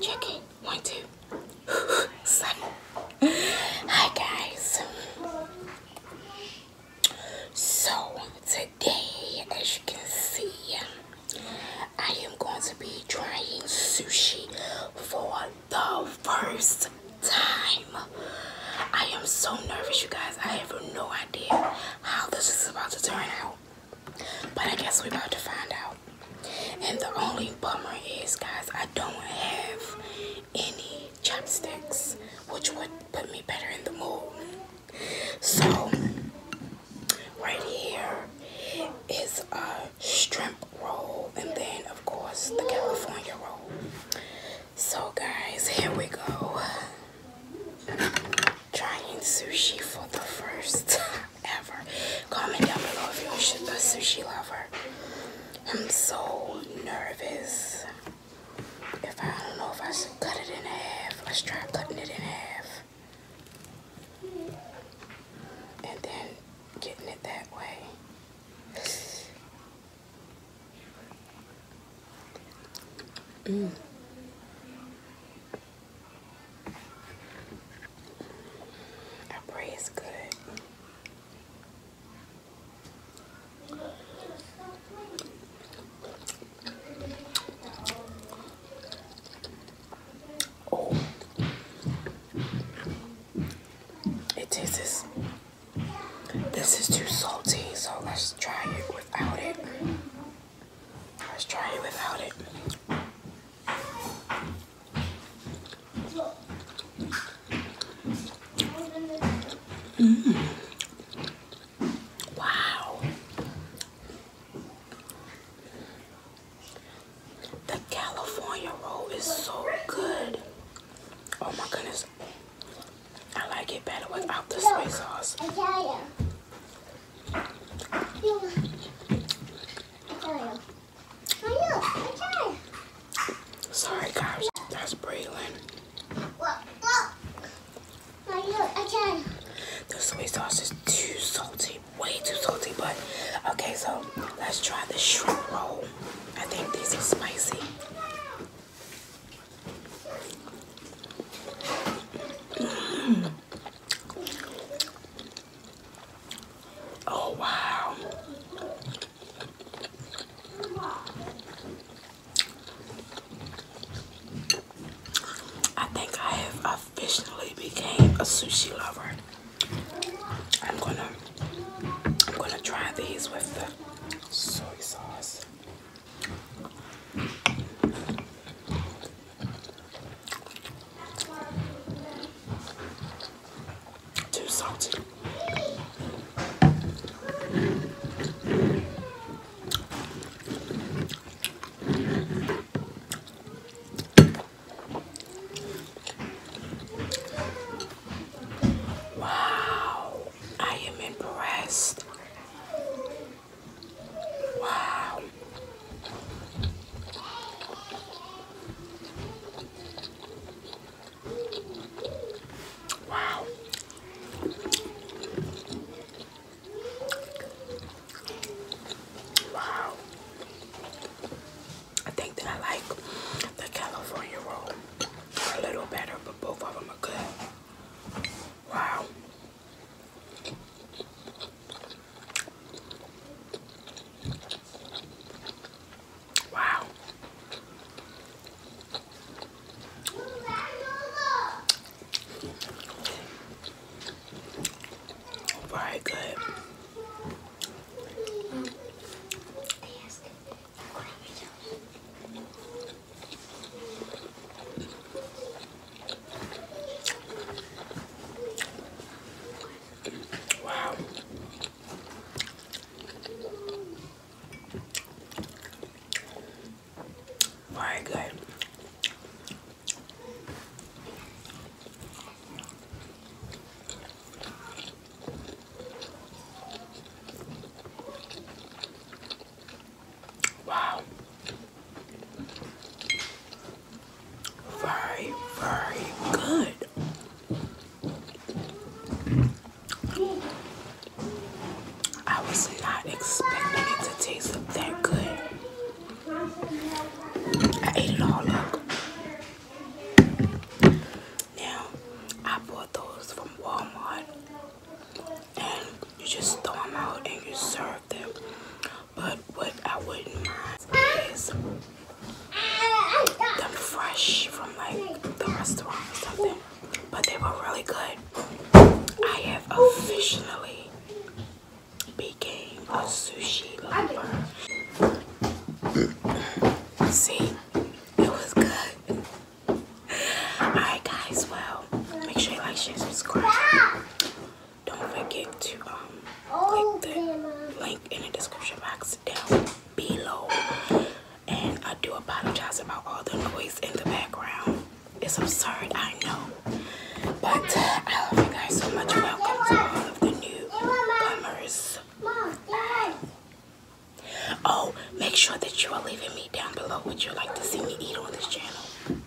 Check it. Hi, guys. So, today, as you can see, I am going to be trying sushi for the first time. I am so nervous, you guys. I have no idea how this is about to turn out. But I guess we're about to find out. And the only bummer is, guys, I don't have any chopsticks, which would put me better in the mood. So, right here is a shrimp roll, and then, of course, the California roll. So guys, here we go. Trying sushi for the first time ever. Comment down below if you're a sushi lover. I'm so nervous. If I don't know if I should cut it in half. Let's try cutting it in half. And then getting it that way. Mm. I pray good. Oh. It tastes. This is too salty, so let's try it without it. Let's try it without it. Mm. Wow. The California roll is so good. Oh my goodness. I like it better without the soy sauce. Sorry guys, that's Braylon. The soy sauce is too salty way too salty, but okay, so let's try the shrimp roll. I think these are spicy. Mm. Oh, wow. I think I have officially became a sushi lover. I'm gonna I'm gonna try these with the soy sauce. Too salty. Wow, I am impressed. Wow. Wow, Wow. I think that I like the California roll a little better, but both of them are good. Wow. Wow. Very good. Wow. Very good. Wow. Very, very good. I was not expecting it to taste that good. I ate it all up. Now, I bought those from Walmart and you just throw them out and you serve them. But but what I wouldn't mind is them fresh from like the restaurant or something. But they were really good. I have officially became a sushi lover. See, it was good. Alright guys, well, make sure you like, share, subscribe don't forget to um oh, click the link in the description box down below. And I do apologize about all the noise in the background. It's absurd, I know. But I love you guys so much. Welcome to all of the newcomers. Oh, make sure that you are leaving me down below what you like to see me eat on this channel.